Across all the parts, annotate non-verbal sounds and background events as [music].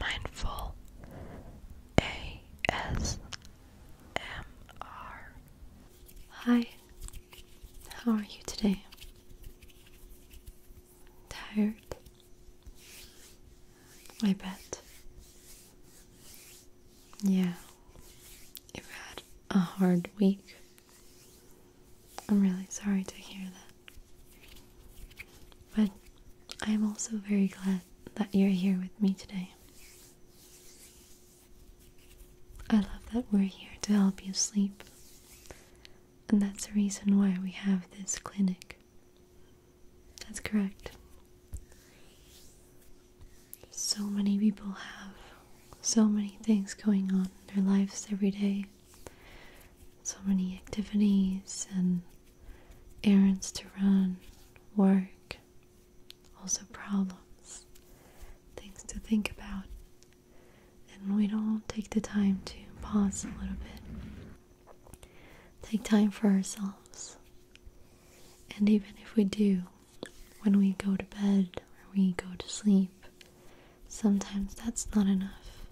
mindful ASMR. Hi, how are you today? Tired? I bet. Yeah, you've had a hard week. I'm really sorry to hear that. But I am also very glad that you're here with me today. I love that we're here to help you sleep, and that's the reason why we have this clinic. That's correct. So many people have so many things going on in their lives every day, so many activities and errands to run, work, also problems, things to think about. And we don't take the time to pause a little bit, take time for ourselves. And even if we do, when we go to bed or we go to sleep, sometimes that's not enough,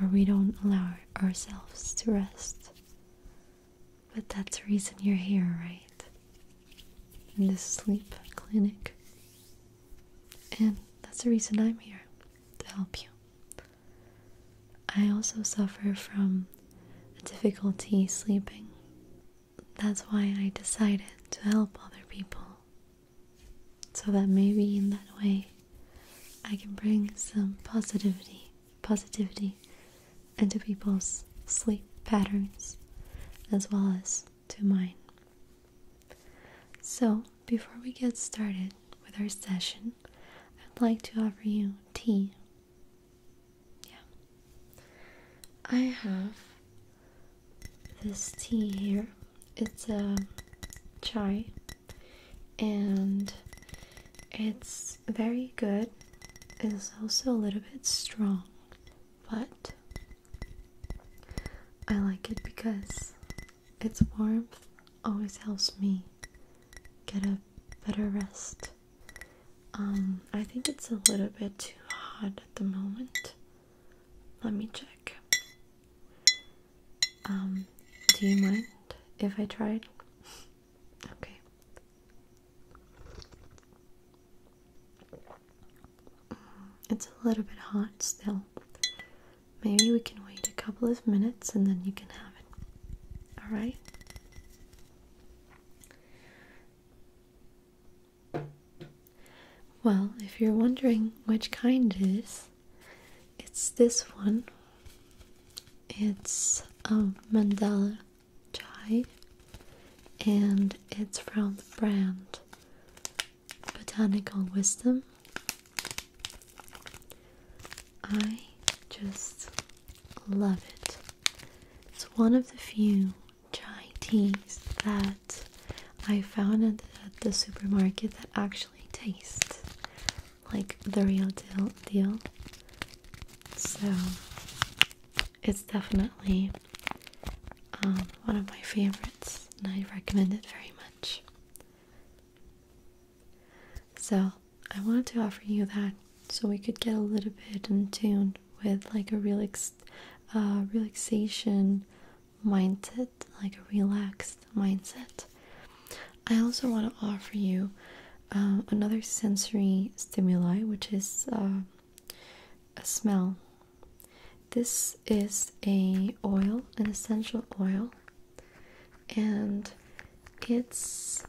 or we don't allow ourselves to rest. But that's the reason you're here, right? In this sleep clinic. And that's the reason I'm here to help you. I also suffer from a difficulty sleeping. That's why I decided to help other people. So that maybe in that way I can bring some positivity, positivity into people's sleep patterns as well as to mine. So, before we get started with our session, I'd like to offer you tea. Yeah. I have this tea here. It's a chai and it's very good. It's also a little bit strong, but I like it because its warmth always helps me get a better rest. Um, I think it's a little bit too hot at the moment. Let me check. Um, do you mind if I tried? Okay. It's a little bit hot still. Maybe we can wait a couple of minutes and then you can have it. Alright? Well, if you're wondering which kind is. It's this one. It's a mandala chai and it's from the brand Botanical Wisdom. I just love it. It's one of the few chai teas that I found at the supermarket that actually taste like the real deal So it's definitely um, one of my favorites, and I recommend it very much. So I wanted to offer you that so we could get a little bit in tune with like a relaxed uh, relaxation mindset, like a relaxed mindset. I also want to offer you um, another sensory stimuli, which is um, a smell. This is a oil, an essential oil, and it's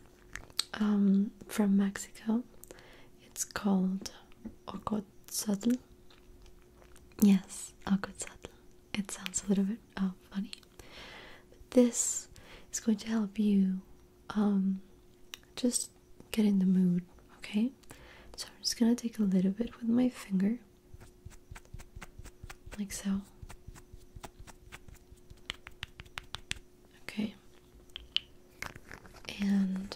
um, from Mexico. It's called ocotzatl. Yes, ocotzatl it sounds a little bit oh, funny. But this is going to help you um, just get in the mood, okay? So I'm just gonna take a little bit with my finger, like so. Okay. And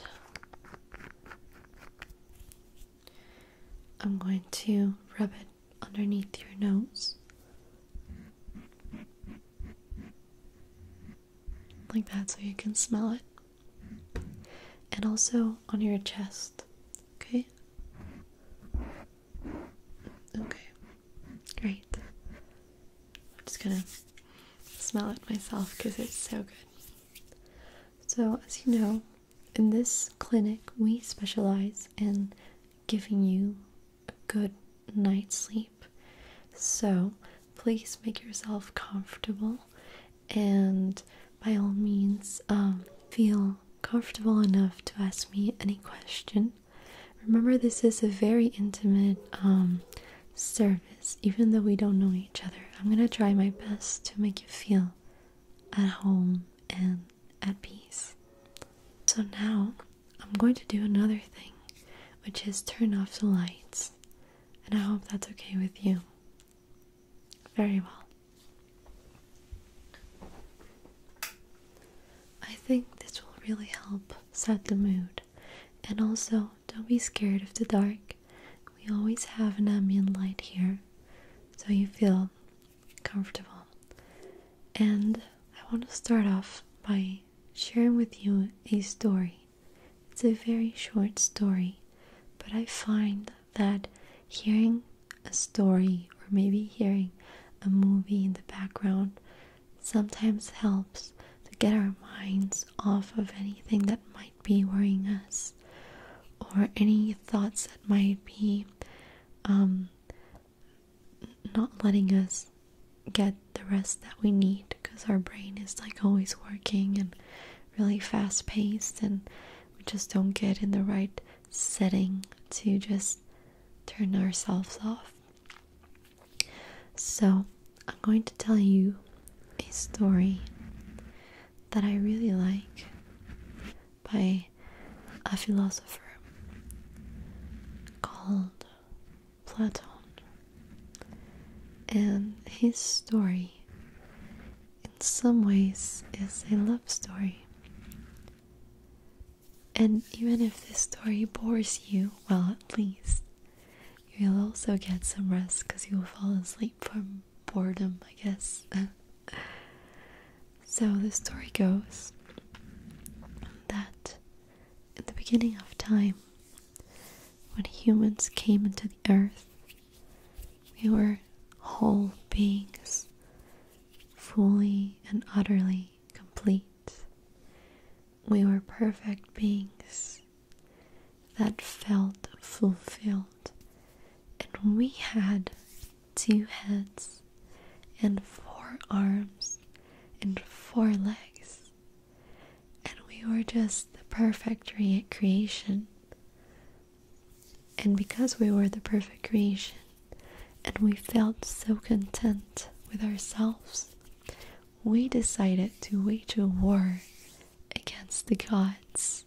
I'm going to rub it underneath your nose. Like that, so you can smell it. And also on your chest. Okay? Okay. Great. I'm just gonna smell it myself because it's so good. So, as you know, in this clinic, we specialize in giving you a good night's sleep. So please make yourself comfortable and by all means um, feel comfortable enough to ask me any question. Remember, this is a very intimate um, service, even though we don't know each other. I'm gonna try my best to make you feel at home and at peace. So now I'm going to do another thing, which is turn off the lights. And I hope that's okay with you. Very well. I think this will really help set the mood. And also, don't be scared of the dark. We always have an ambient light here, so you feel comfortable. And I want to start off by sharing with you a story. It's a very short story, but I find that hearing a story or maybe hearing a movie in the background sometimes helps to get our minds off of anything that might be worrying us or any thoughts that might be um, not letting us get the rest that we need because our brain is like always working and really fast paced and we just don't get in the right setting to just turn ourselves off. So, I'm going to tell you a story that I really like by a philosopher called Plato, And his story, in some ways, is a love story. And even if this story bores you, well, at least you'll also get some rest because you will fall asleep from boredom, I guess. [laughs] so the story goes that in the beginning of time, when humans came into the earth, we were whole beings, fully and utterly complete. We were perfect beings that felt fulfilled and we had two heads, and four arms, and four legs, and we were just the perfect creation. And because we were the perfect creation, and we felt so content with ourselves, we decided to wage a war against the gods.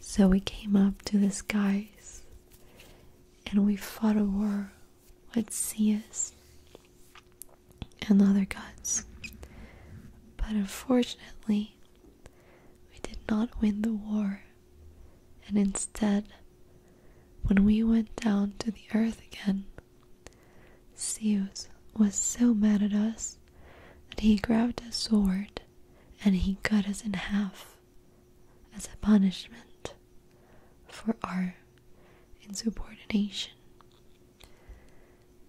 So we came up to the skies and we fought a war with Zeus and the other gods. But unfortunately, we did not win the war, and instead, when we went down to the earth again, Zeus was so mad at us that he grabbed a sword and he cut us in half as a punishment for our insubordination.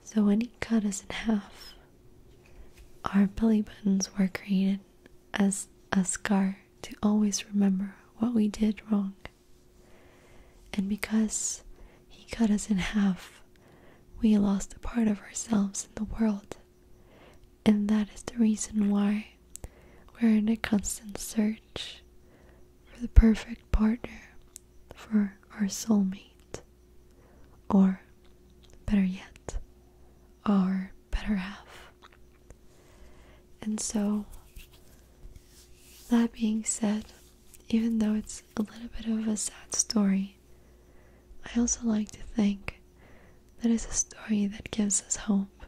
So, when he cut us in half, our belly buttons were created as a scar to always remember what we did wrong. And because he cut us in half, we lost a part of ourselves in the world. And that is the reason why we're in a constant search for the perfect partner for our soulmate. Or, better yet, our better half. And so, that being said, even though it's a little bit of a sad story, I also like to think that it's a story that gives us hope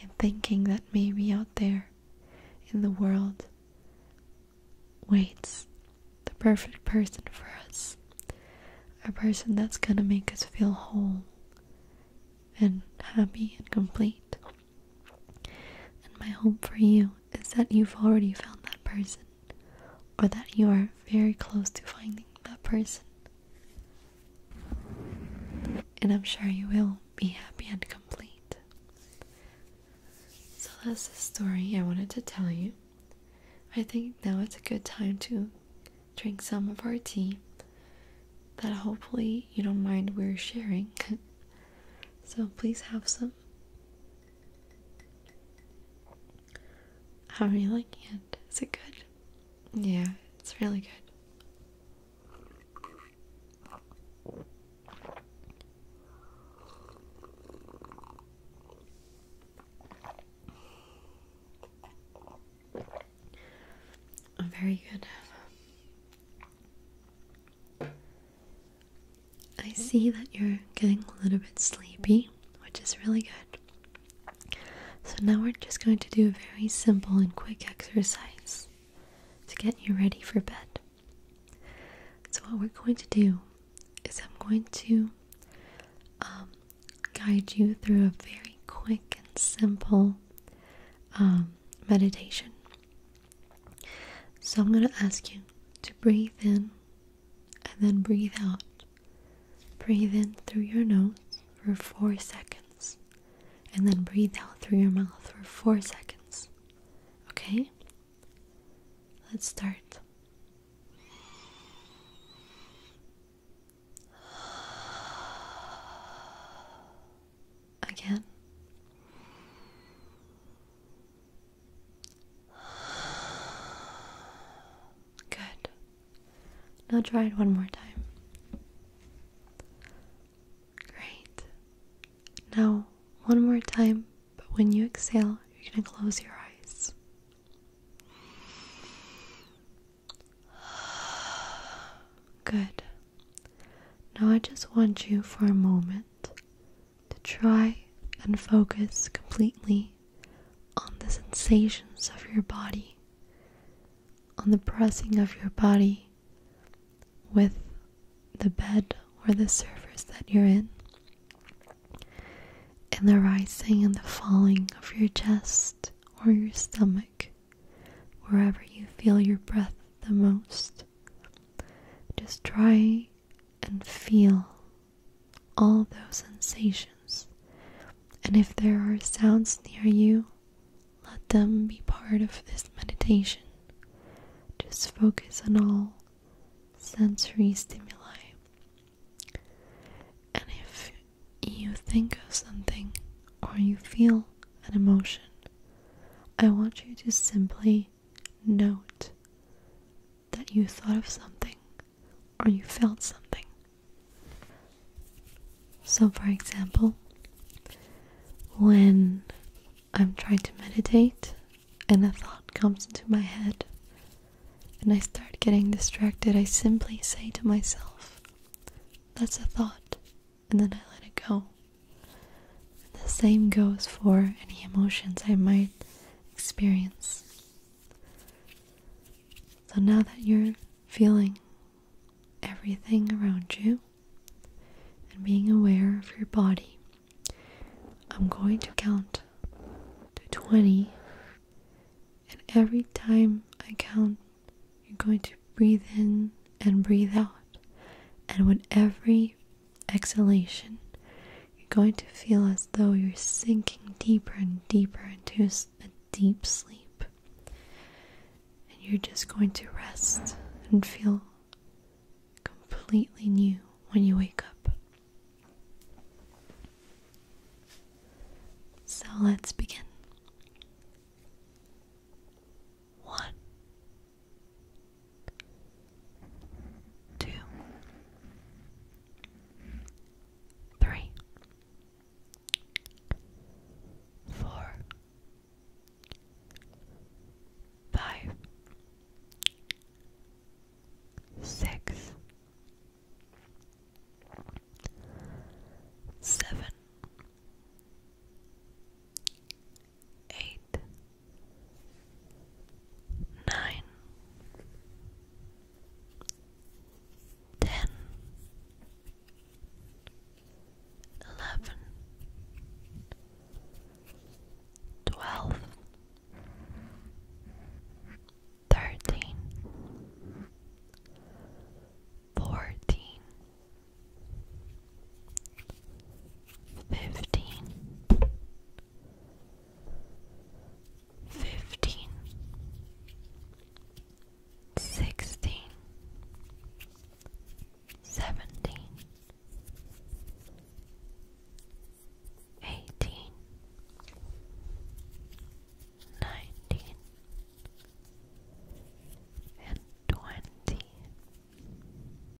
in thinking that maybe out there in the world waits the perfect person for us. A person that's gonna make us feel whole and happy and complete. And my hope for you is that you've already found that person or that you are very close to finding that person. And I'm sure you will be happy and complete. So that's the story I wanted to tell you. I think now it's a good time to drink some of our tea that hopefully you don't mind we're sharing. [laughs] so please have some awesome. How are you liking it? Is it good? Yeah, it's really good. Oh, very good. I see that you're getting a little bit sleepy, which is really good. So now we're just going to do a very simple and quick exercise to get you ready for bed. So what we're going to do is I'm going to um, guide you through a very quick and simple um, meditation. So I'm going to ask you to breathe in and then breathe out. Breathe in through your nose for four seconds and then breathe out through your mouth for four seconds. Okay? Let's start. Again. Good. Now try it one more time. Great. Now, one more time, but when you exhale, you're going to close your eyes. Good. Now, I just want you for a moment to try and focus completely on the sensations of your body, on the pressing of your body with the bed or the surface that you're in, and the rising and the falling of your chest or your stomach, wherever you feel your breath the most. Just try and feel all those sensations. And if there are sounds near you, let them be part of this meditation. Just focus on all sensory stimuli. And if you think of something or you feel an emotion, I want you to simply note that you thought of something or you felt something. So, for example, when I'm trying to meditate and a thought comes into my head and I start getting distracted, I simply say to myself, That's a thought, and then I let it go. the same goes for any emotions I might experience. So now that you're feeling everything around you and being aware of your body, I'm going to count to 20. And every time I count, you're going to breathe in and breathe out. And with every exhalation, you're going to feel as though you're sinking deeper and deeper into a deep sleep. And you're just going to rest and feel completely new when you wake up. So let's begin. One, two, three, four, five, six, seven eight, nine, ten, eleven, twelve, thirteen, fourteen fifteen, fifteen, sixteen, seventeen, eighteen, nineteen, and twenty.